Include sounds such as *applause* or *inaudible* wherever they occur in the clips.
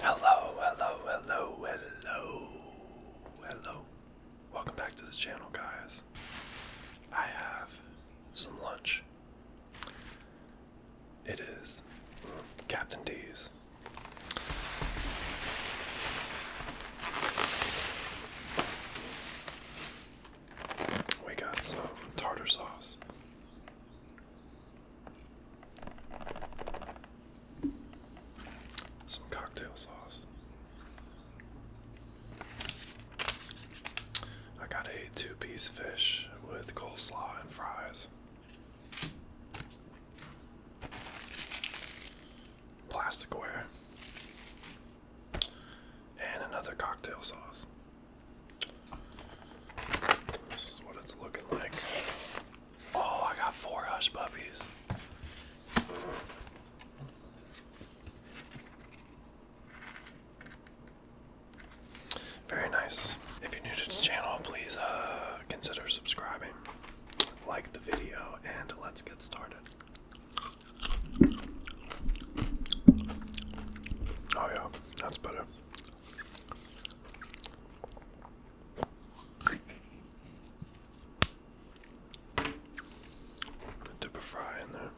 Hello, hello, hello, hello, hello. Welcome back to the channel, guys. I have some lunch. It is mm, Captain D's. We got some tartar sauce. Some cocktail sauce. I got a two piece fish with coleslaw and fries. Plasticware. And another cocktail sauce. This is what it's looking like. Oh, I got four hush puppies. Very nice. If you're new to the channel, please uh, consider subscribing, like the video, and let's get started. Oh yeah, that's better. Dip a fry in there.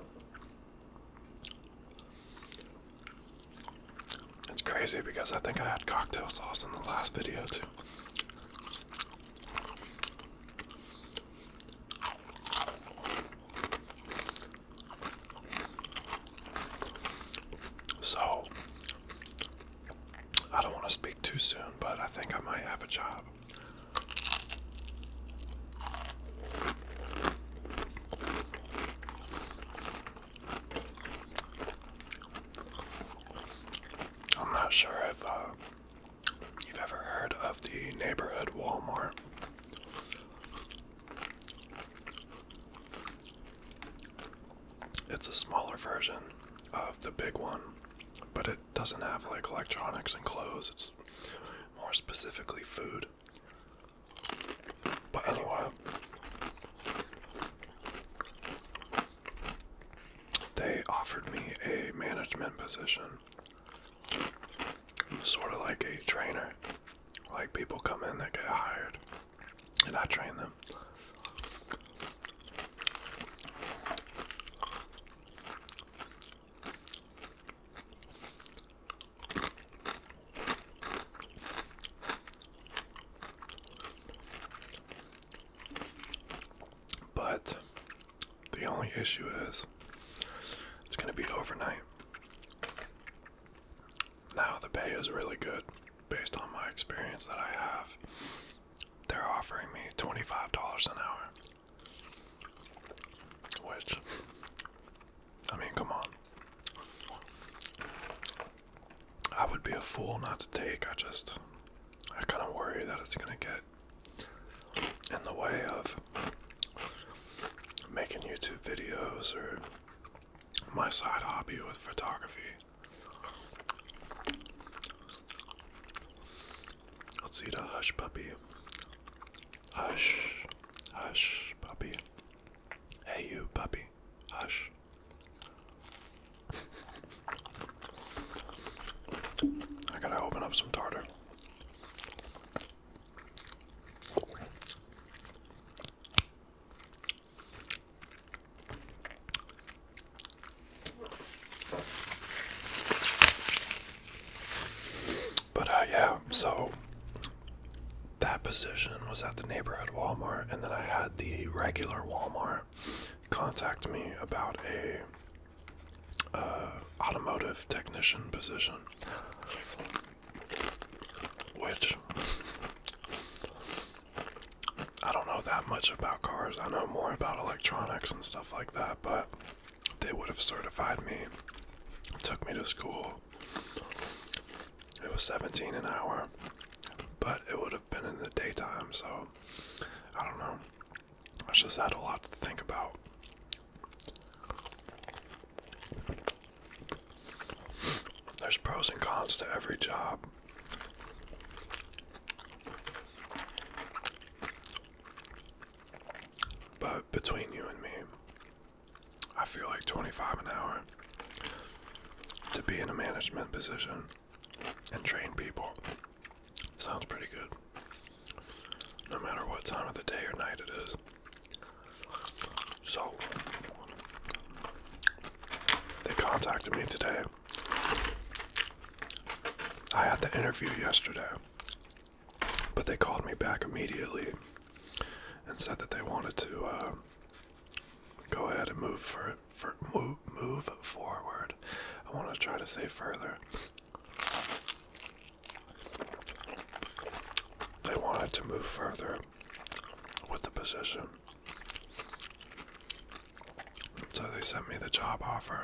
It's crazy because I think I had cocktail sauce in the last video too. So, I don't want to speak too soon, but I think I might have a job. I'm not sure if uh, you've ever heard of the neighborhood Walmart. It's a smaller version of the big one, but it doesn't have like electronics and clothes. It's more specifically food. But anyway, they offered me a management position, sort of like a trainer. Like people come in that get hired and I train them. But the only issue is it's going to be overnight. Now, the pay is really good based on my experience that I have. They're offering me $25 an hour, which, I mean, come on. I would be a fool not to take. I just, I kind of worry that it's going to get in the way of making YouTube videos or my side hobby with photography. Let's eat a hush puppy. Hush, hush, puppy. Hey, you puppy. Hush. I gotta open up some tartar. But uh, yeah, so that position was at the neighborhood Walmart, and then I had the regular Walmart contact me about a uh, automotive technician position. Which I don't know that much about cars. I know more about electronics and stuff like that, but they would have certified me. Took me to school. It was 17 an hour, but it would have been in the daytime, so I don't know. I just had a lot to think about. There's pros and cons to every job. But between you and me, I feel like 25 an hour to be in a management position and train people sounds pretty good. No matter what time of the day or night it is, so they contacted me today. I had the interview yesterday, but they called me back immediately and said that they wanted to uh, go ahead and move for, move forward. I want to try to say further. They wanted to move further with the position. So they sent me the job offer.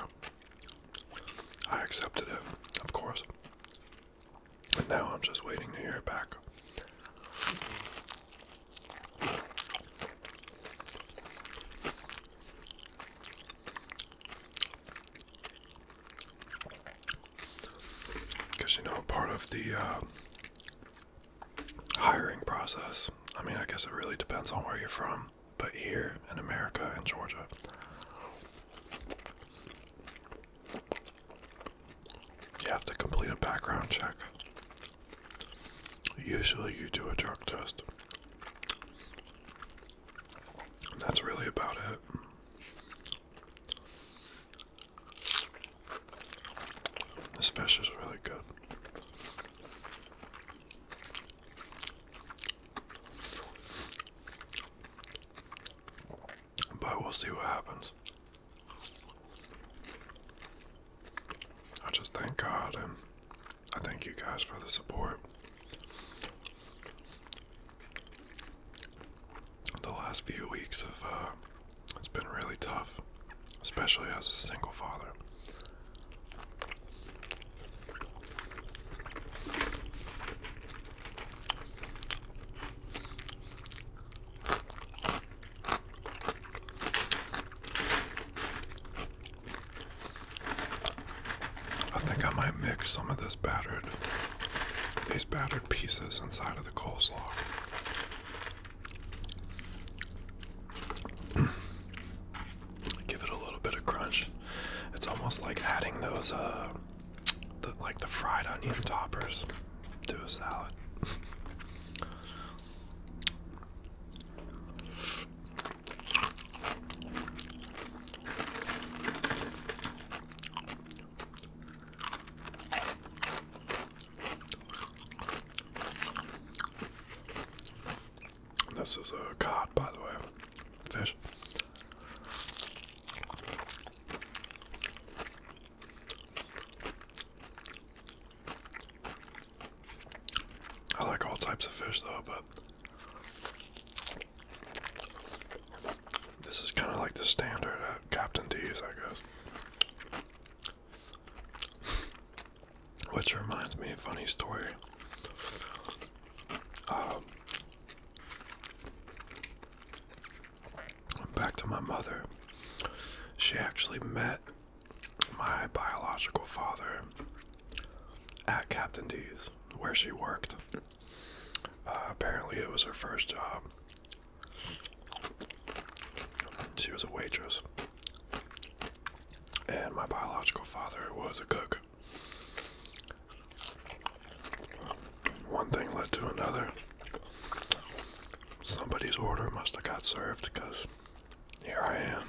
I accepted it, of course. but now I'm just waiting to hear back. Because you know, part of the uh, hiring process, I mean, I guess it really depends on where you're from, but here in America in Georgia, you have to complete a background check. Usually, you do a drug test. that's really about it. This fish is really good. But we'll see what happens. I just thank God and I thank you guys for the support the last few weeks have uh, it's been really tough, especially as a single father. I think I might mix some of this these battered pieces inside of the coleslaw. *clears throat* Give it a little bit of crunch. It's almost like adding those uh, like the fried onion toppers to a salad. *laughs* This is a cod, by the way, fish. I like all types of fish, though, but this is kind of like the standard at uh, Captain D's, I guess. Which reminds me, a funny story. Um, back to my mother. She actually met my biological father at Captain D's, where she worked. Uh, apparently, it was her first job. She was a waitress, and my biological father was a cook. One thing led to another. Somebody's order must have got served because here I am.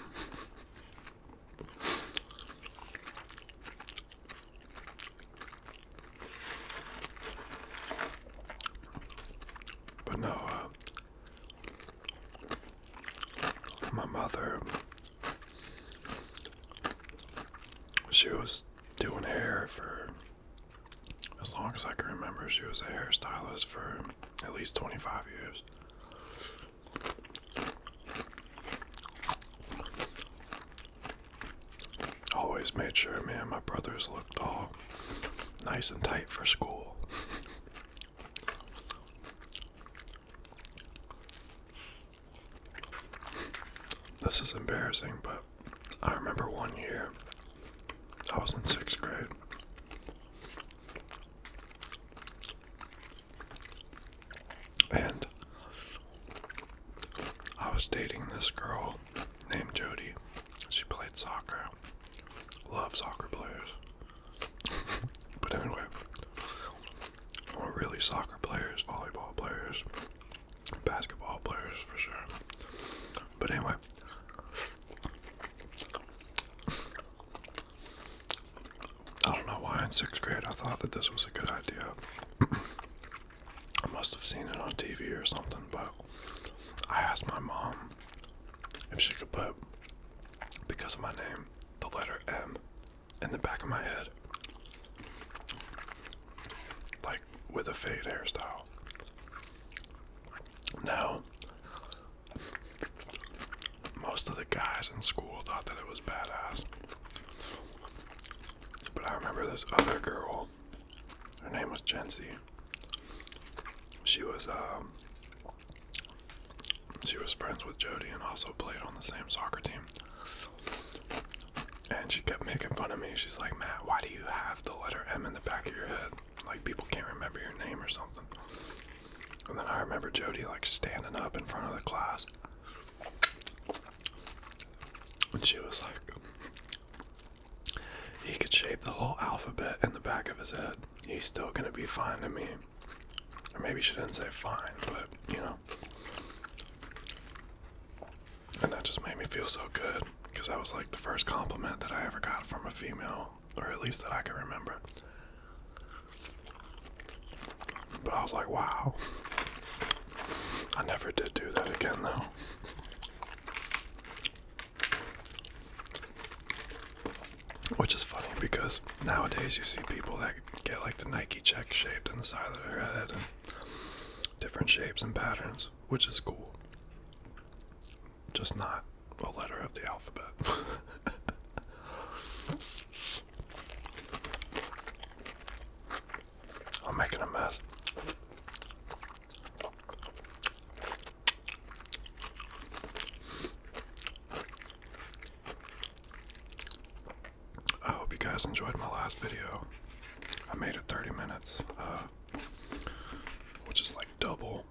But no, uh, my mother, she was doing hair for as long as I can remember. She was a hairstylist for at least 25 years. Always made sure me and my brothers looked all nice and tight for school. This is embarrassing, but I remember one year I was in sixth grade. And I was dating this girl named Jody. She played soccer. Love soccer players. *laughs* but anyway, or really soccer players, volleyball players, basketball players for sure. But anyway, I don't know why in sixth grade I thought that this was a good idea. *clears throat* I must have seen it on TV or something, but I asked my mom if she could put, because of my name, the letter M in the back of my head. Like with a fade hairstyle. Now, most of the guys in school thought that it was badass. But I remember this other girl. Her name was Jency. She was um she was friends with Jody and also played on the same soccer team. And she kept making fun of me. She's like, Matt, why do you have the letter M in the back of your head? Like people can't remember your name or something. And then I remember Jody like standing up in front of the class and she was like, he could shape the whole alphabet in the back of his head. He's still gonna be fine to me. Or maybe she didn't say fine, but you know. And that just made me feel so good because that was like the first compliment that I ever got from a female, or at least that I can remember. But I was like, wow. I never did do that again, though. Which is funny because nowadays you see people that get like the Nike check shaped in the side of their head different shapes and patterns, which is cool. Just not a letter of the alphabet. *laughs* I'm making a mess. I hope you guys enjoyed my last video. I made it 30 minutes, uh, which is like double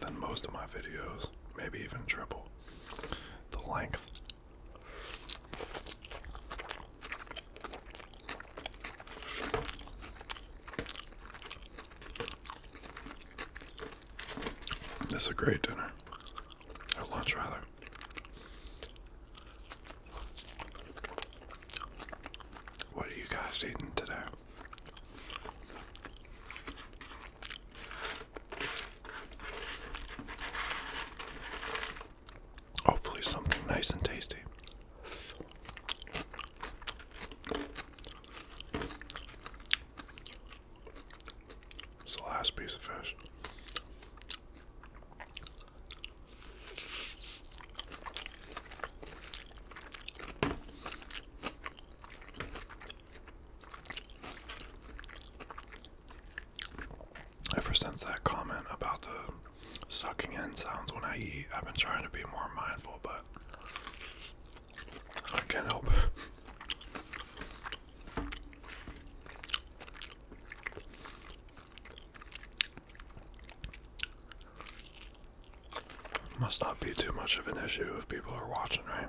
than most of my videos, maybe even triple the length. This is a great dinner. Or lunch, rather. What are you guys eating today? Hopefully, something nice and tasty. It's the last piece of fish. Ever since that comment about the sucking in sounds when I eat, I've been trying to be more mindful, but I can't help Must not be too much of an issue if people are watching, right?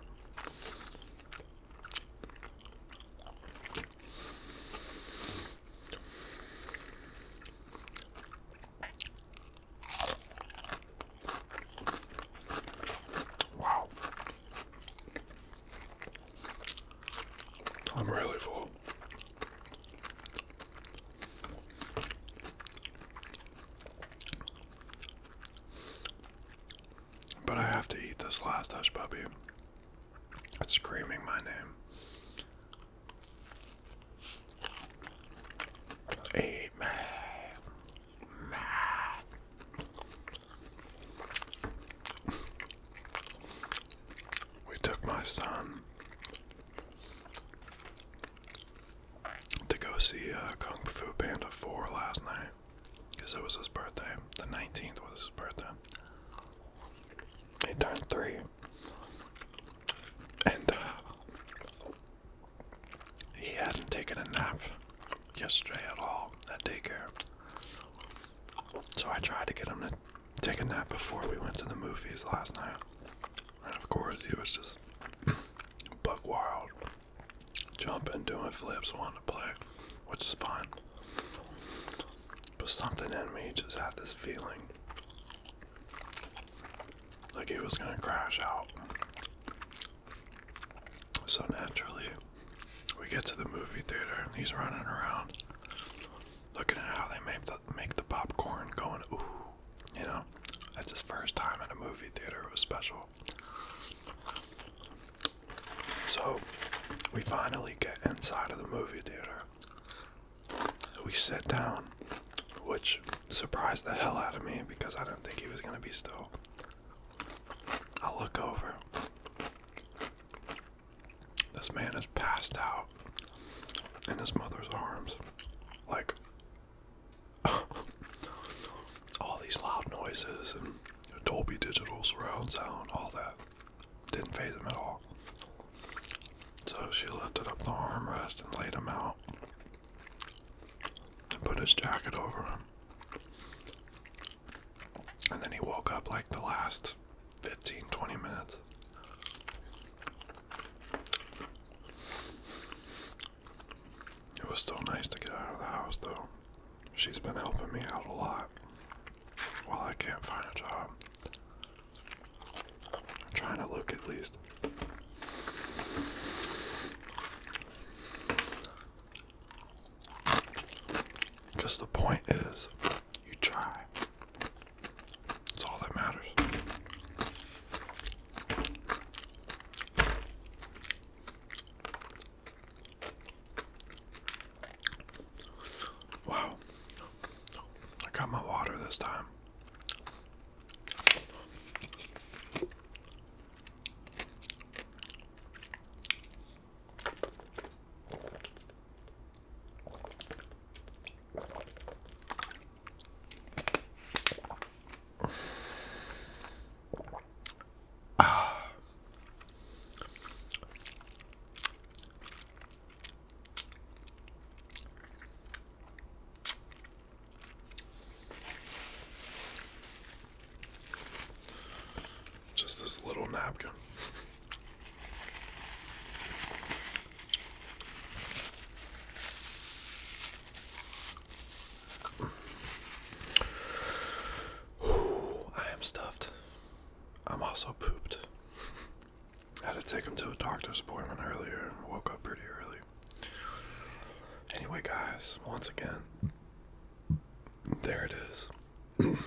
Wow. I'm really full. But I have to eat this last hush puppy. It's screaming my name. Eat We took my son to go see uh, Kung Fu Panda 4 last night because it was his birthday. The 19th was his birthday. He turned three. And uh, he hadn't taken a nap yesterday at all at daycare. So I tried to get him to take a nap before we went to the movies last night. And of course, he was just *clears throat* bug wild jumping, doing flips, wanting to play, which is fine. But something in me just had this feeling like he was gonna crash out. So naturally, we get to the movie theater and he's running around looking at how they make the, popcorn going, ooh, you know? That's his first time in a movie theater, it was special. So we finally get inside of the movie theater. We sit down, which surprised the hell out of me because I didn't think he was going to be still. I look over. This man is passed out in his mother's arms. Like, *laughs* all these loud noises and Dolby Digital surround sound, all that. Didn't phase him at all. So she lifted up the armrest and laid him out and put his jacket over him. And then he woke up like the last 15 20 minutes. It was still nice to get out of the house, though. She's been helping me out a lot while I can't find a job. I'm trying to look at least. Because the point is, you try. That's all that matters. Wow. I got my water this time. *sighs* Just this little napkin. I am stuffed. I'm also pooped. I *laughs* had to take him to a doctor's appointment earlier. Woke up pretty early. Anyway, guys, once again, there it is. *coughs*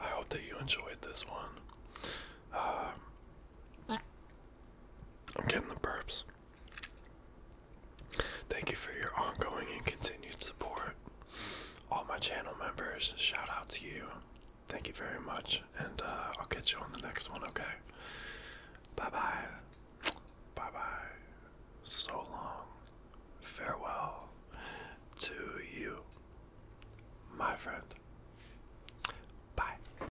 I hope that you enjoyed this one. Uh, I'm getting the burps. Thank you for your ongoing and continued support. All my channel members, shout out to you. Thank you very much, and uh, I'll catch you on the next one, okay? Bye bye. Bye bye. So long. Farewell to you, my friend. Bye.